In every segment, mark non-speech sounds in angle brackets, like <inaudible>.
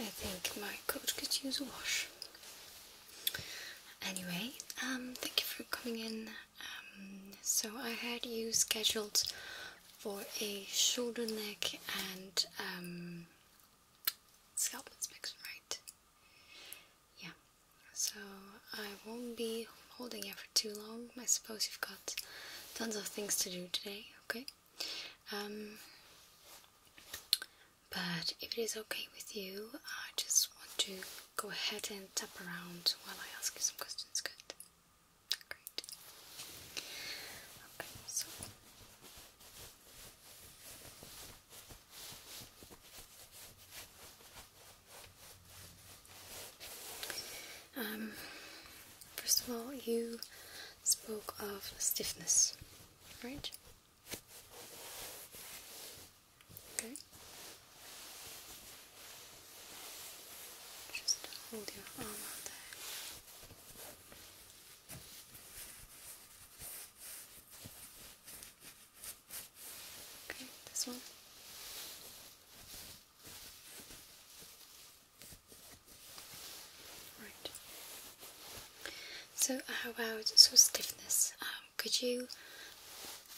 I think my coat could use a wash. Anyway, um, thank you for coming in. Um, so I had you scheduled for a shoulder, neck, and um, scalp inspection, right? Yeah, so I won't be holding it for too long. I suppose you've got tons of things to do today, okay? Um, but if it is okay with you, I just want to go ahead and tap around while I ask you some questions, good? Great. Okay, so um, first of all, you spoke of stiffness, right? Okay. Just hold your arm out there. Okay, this one. Right. So, how about sort of stiffness? Um, could you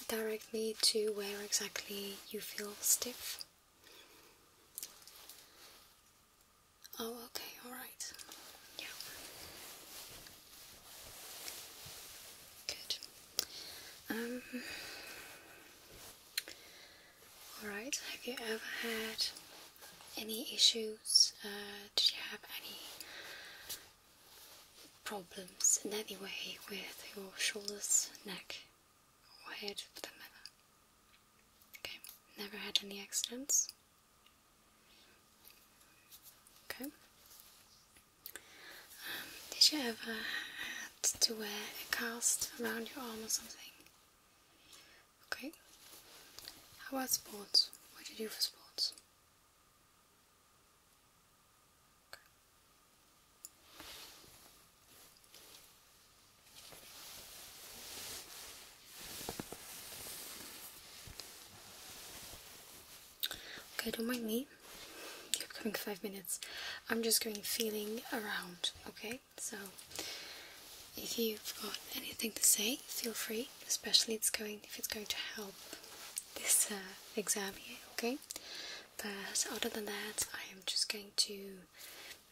direct me to where exactly you feel stiff? Oh, okay, alright. Yeah. Good. Um. Alright, have you ever had any issues? Uh, did you have any problems in any way with your shoulders, neck, or head for Okay, never had any accidents. Okay. Um, did you ever have to wear a cast around your arm or something? Okay. How about sports? What do you do for sports? Okay, don't mind me. We're coming five minutes, I'm just going feeling around. Okay, so if you've got anything to say, feel free. Especially it's going if it's going to help this uh, exam here. Okay, but other than that I am just going to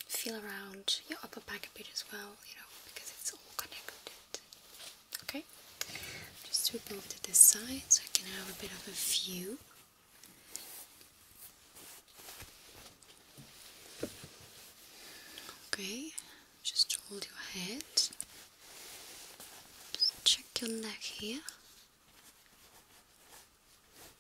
feel around your upper back a bit as well you know because it's all connected okay just to over to this side so I can have a bit of a view okay just hold your head check your neck here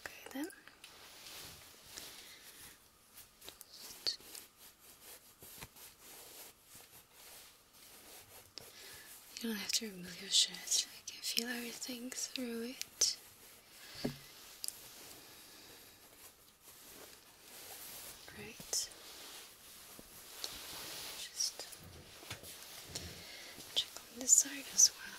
Okay then. Just you don't have to remove your shirt. I can feel everything through it. Great. Just check on this side as well.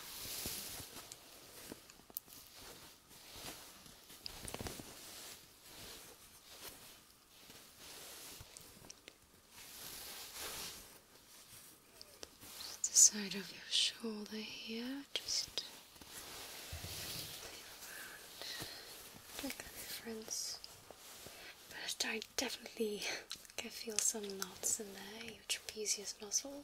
Just the side of your shoulder here, just around. Like a difference. But I definitely can feel some knots in there, your trapezius muscle.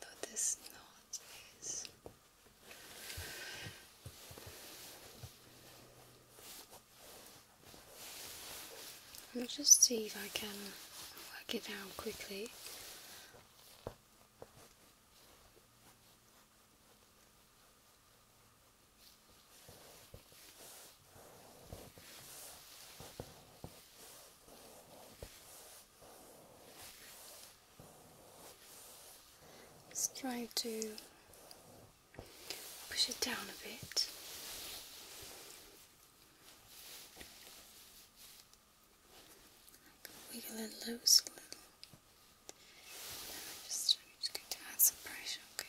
Let this knot is i just see if I can work it out quickly. Let's try to push it down a bit. Wiggle it loose a little. And I'm just, going to add some pressure, okay?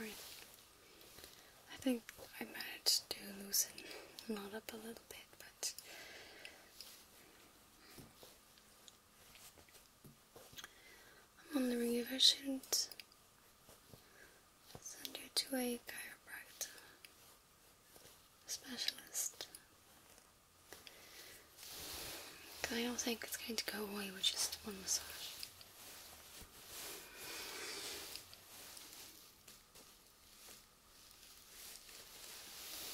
All right. I think I managed to loosen knot up a little bit, but I'm on wondering if I shouldn't send you to a chiropractor specialist. I don't think it's going to go away with just one massage.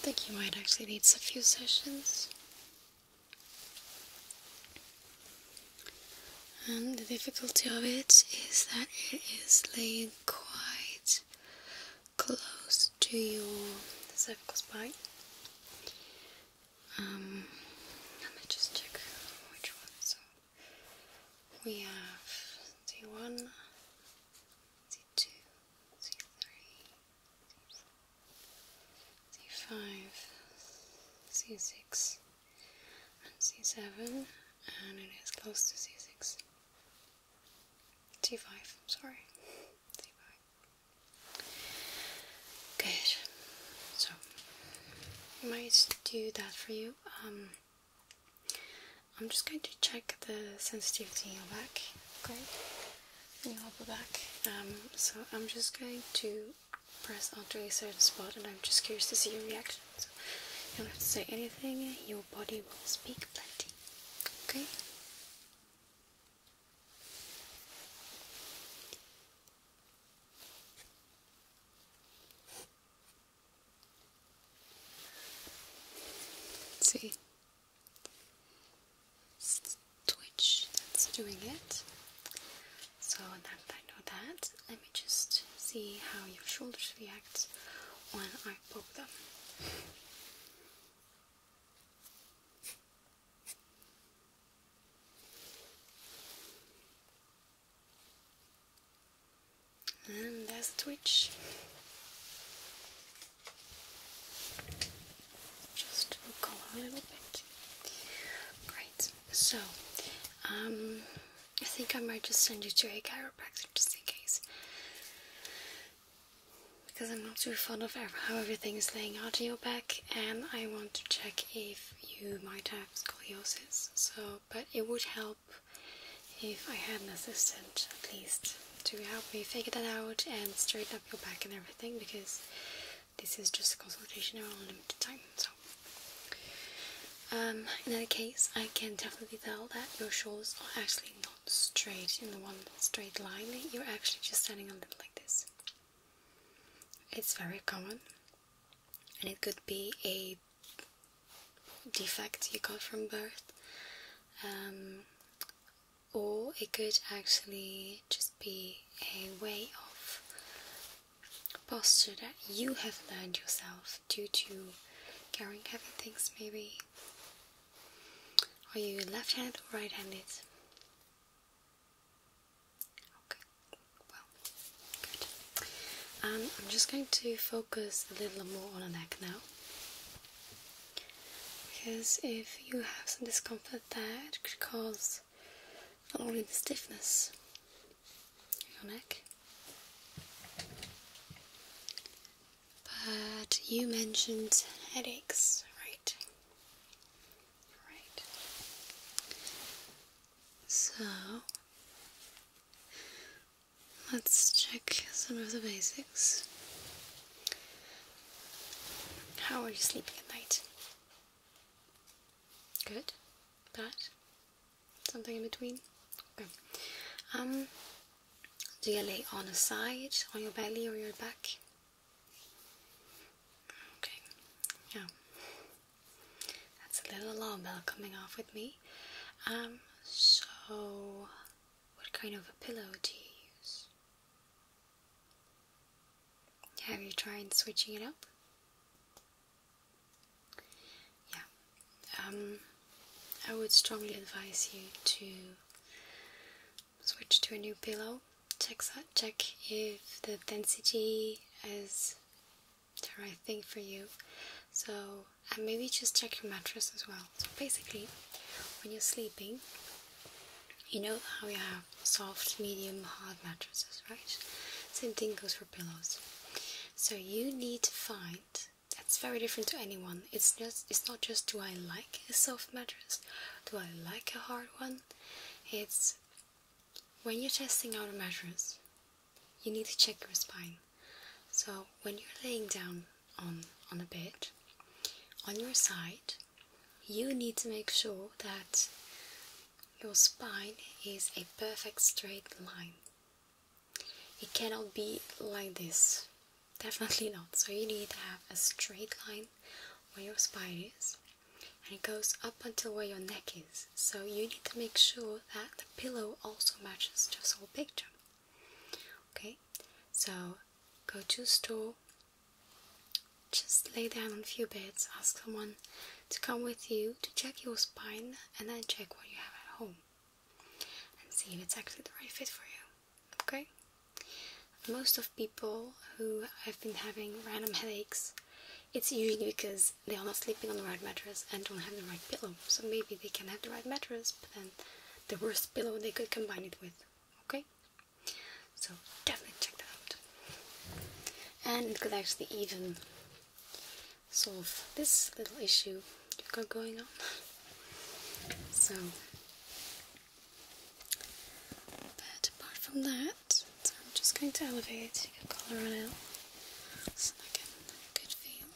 I think you might actually need a few sessions. And the difficulty of it is that it is laid quite close to your cervical spine. Um, let me just check which one. So we have the one, the two, the three, c5, c6, and c7, and it is close to c6. c5, sorry. c5. Good. So, I might do that for you. Um, I'm just going to check the sensitivity in your back, okay? In your back. Um, so I'm just going to press onto a certain spot, and I'm just curious to see your reaction. So you don't have to say anything, your body will speak plenty. Okay? see switch that's doing it. So I know that. Let me just see how your shoulders react when I poke them. And there's a twitch just a little bit. Great. So, um, I think I might just send you to a chiropractor just in case, because I'm not too fond of how everything is laying out in your back, and I want to check if you might have scoliosis. So, but it would help if I had an assistant at least to help me figure that out and straighten up your back and everything because this is just a consultation around limited time. So, um, in any case, I can definitely tell that your shoulders are actually not straight in the one straight line. You're actually just standing a little like this. It's very common, and it could be a defect you got from birth. Um, or it could actually just be a way of posture that you have learned yourself due to carrying heavy things maybe are you left handed or right handed okay well good um, I'm just going to focus a little more on the neck now because if you have some discomfort there, it could cause not only the stiffness in your neck, but you mentioned headaches, right? Right. So let's check some of the basics. How are you sleeping at night? Good? Bad? Something in between? Okay. Um, do you lay on a side, on your belly or your back? Okay, yeah. That's a little alarm bell coming off with me. Um, so what kind of a pillow do you use? Have you tried switching it up? Yeah, um, I would strongly advise you to switch to a new pillow. Check, check if the density is the right thing for you. So, and maybe just check your mattress as well. So basically, when you're sleeping, you know how you have soft, medium, hard mattresses, right? Same thing goes for pillows. So you need to find that's very different to anyone. It's just it's not just do I like a soft mattress, do I like a hard one? It's when you're testing out a mattress, you need to check your spine. So when you're laying down on on a bed, on your side, you need to make sure that your spine is a perfect straight line. It cannot be like this, definitely not. So, you need to have a straight line where your spine is and it goes up until where your neck is. So, you need to make sure that the pillow also matches this whole picture. Okay, so go to store, just lay down on a few beds, ask someone to come with you to check your spine and then check what you have at home and see if it's actually the right fit for you. Okay? Most of people who have been having random headaches, it's usually because they are not sleeping on the right mattress and don't have the right pillow. So maybe they can have the right mattress, but then the worst pillow they could combine it with okay so definitely check that out and it could actually even solve this little issue you've got going on so but apart from that I'm just going to elevate it, you can it out so I good feel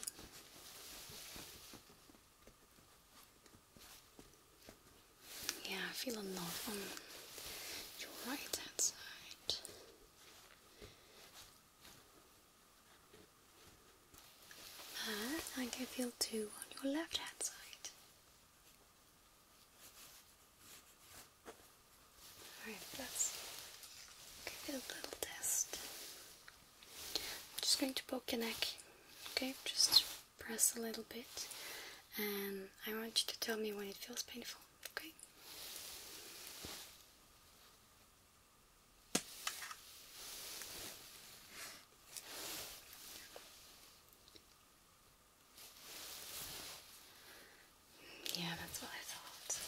yeah, I feel a lot on your right hand side. I think I feel two on your left hand side. Alright, let's give it a little test. I'm just going to poke your neck, okay? Just press a little bit, and I want you to tell me when it feels painful, okay? Yeah, that's what I thought.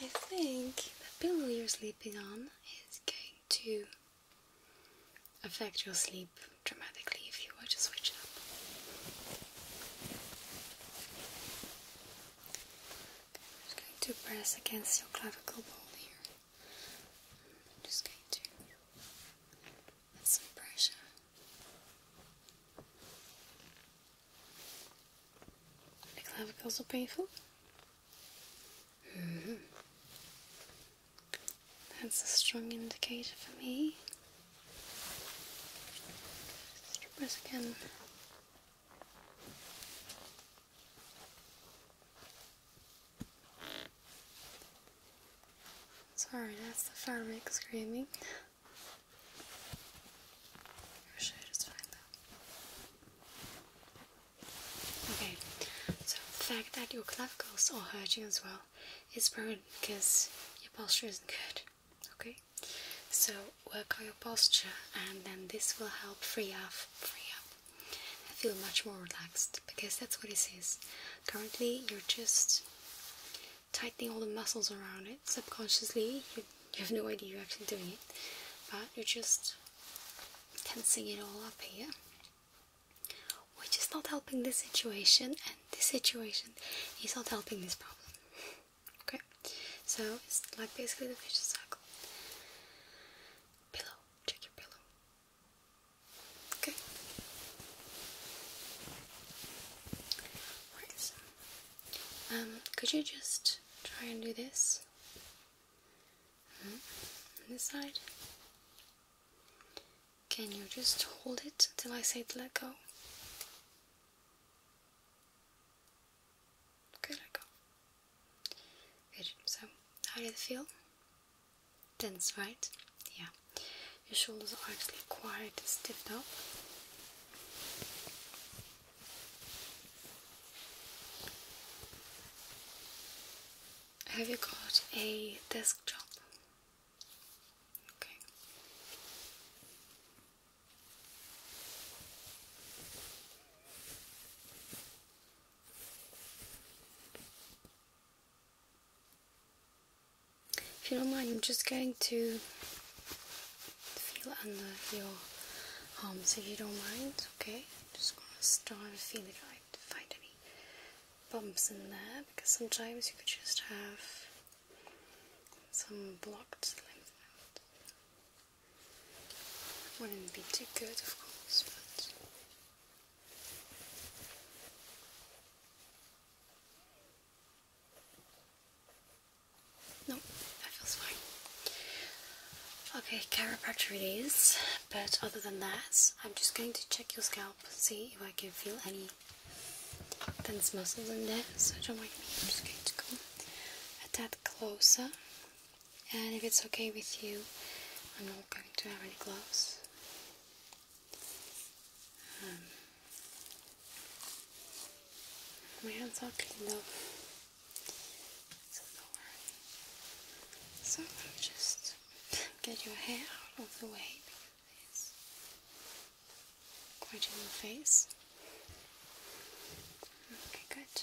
I think the pillow you're sleeping on is going to affect your sleep dramatically if you were to switch it up. I'm just going to press against your clavicle bone here. I'm just going to put some pressure. The clavicles are painful. That's a strong indicator for me. Strippers again. Sorry, that's the fabric screaming. I just find that. Okay, so the fact that your clavicles are hurting as well is probably because your posture isn't good. Okay, so work on your posture, and then this will help free up, free up. feel much more relaxed because that's what this is. Currently, you're just tightening all the muscles around it subconsciously. You, you have no idea you're actually doing it, but you're just can sing it all up here, which is not helping this situation, and this situation is not helping this problem. <laughs> Okay, so it's like basically the vicious circle. Pillow, check your pillow. Okay. Um, could you just try and do this? Hmm? this side. Can you just hold it till I say to let go? Good. So, how did it feel? Tense, right? Yeah. Your shoulders are actually quite stiffed up. Have you got a desk job? If you don't mind, I'm just going to feel under your arms if you don't mind, okay? I'm just gonna start feeling feel it find any bumps in there because sometimes you could just have some blocked lymph nodes. Wouldn't be too good, of course, but. No, that feels fine. Okay, chiropractor it is, but other than that, I'm just going to check your scalp, see if I can feel any tense muscles in there. So don't mind me, I'm just going to come a tad closer. And if it's okay with you, I'm not going to have any gloves. Um, my hands are clean though. So don't worry. So just get your hair out of the way because it's quite in your face. Okay, good.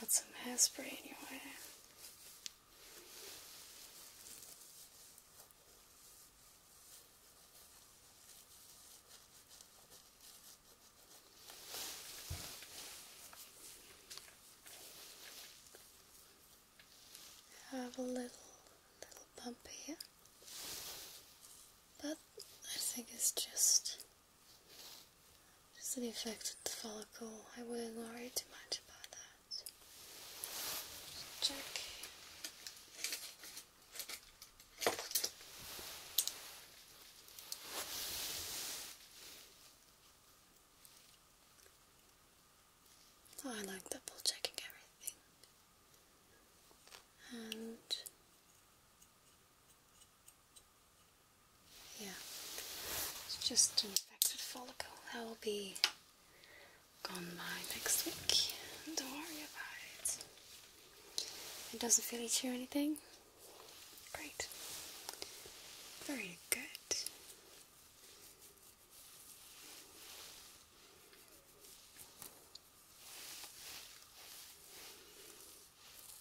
Got some hairspray in your hair. Have a little little bump here. But I think it's just just an the follicle. I wouldn't worry too much about that. Just oh, I like double checking everything. And yeah, it's just an infected follicle. That will be gone by next week. Don't worry about it. It doesn't feel itchy anything. Great. Very good.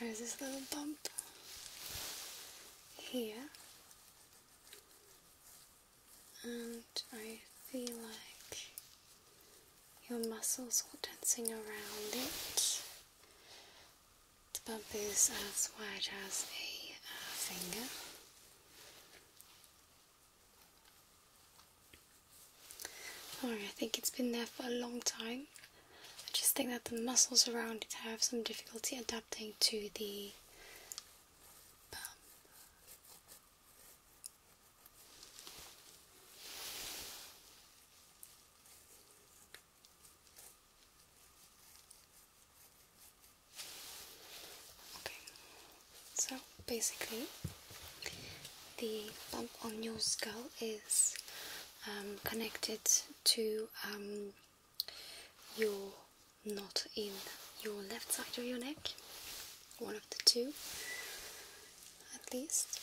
there's this little bump here, and I feel like your muscles are dancing around it. The bump is as wide as a uh, finger, Alright, I think it's been there for a long time. I just think that the muscles around it have some difficulty adapting to the bump. Okay, so basically, the bump on your skull is um, connected to um, your knot in your left side of your neck, one of the two at least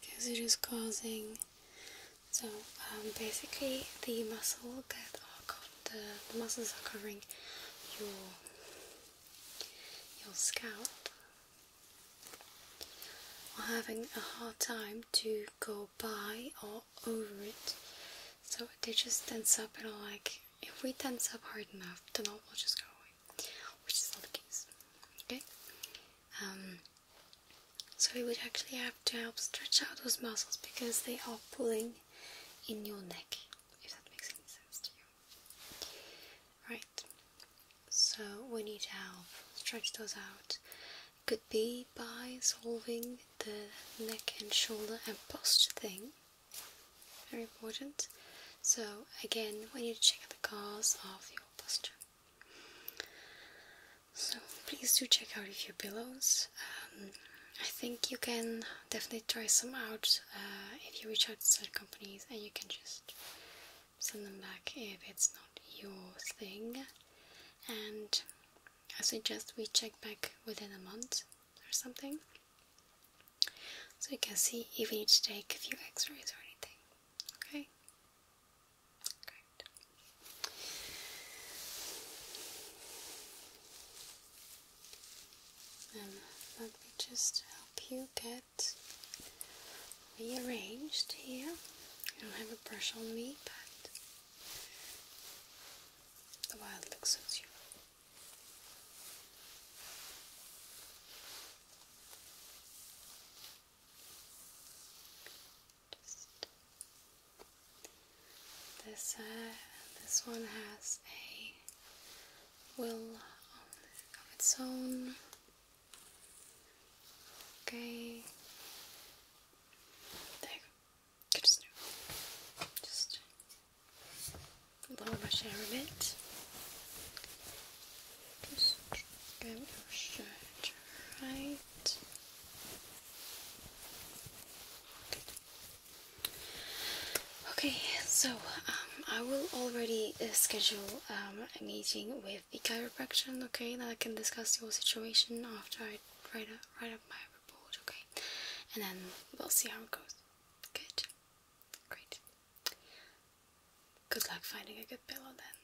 because it is causing so um, basically the muscle are the, muscles are covering your your scalp are having a hard time to go by or over it so they just tense up and I'm like if we tense up hard enough the knot will just go away which is not the case. Okay? Um, so we would actually have to help stretch out those muscles because they are pulling in your neck, if that makes any sense to you. Right, so we need to help stretch those out. could be by solving the neck and shoulder and posture thing very important. So again, we need to check out the cause of your posture. So please do check out a few pillows. Um, I think you can definitely try some out uh, if you reach out to certain companies, and you can just send them back if it's not your thing. And I suggest we check back within a month or something so you can see if we need to take a few x-rays or anything. Okay? Um, let me just help you get rearranged here. You don't have a brush on me, but the wild looks at you. This uh, this one has a will of its own. Okay. There you go. just lower my hair a bit. Just grab your shirt right. Okay, so um, I will already uh, schedule um, a meeting with the chiropractor, okay, that I can discuss your situation after I write up, write up my report, okay, and then we'll see how it goes. Good, great. Good luck finding a good pillow then.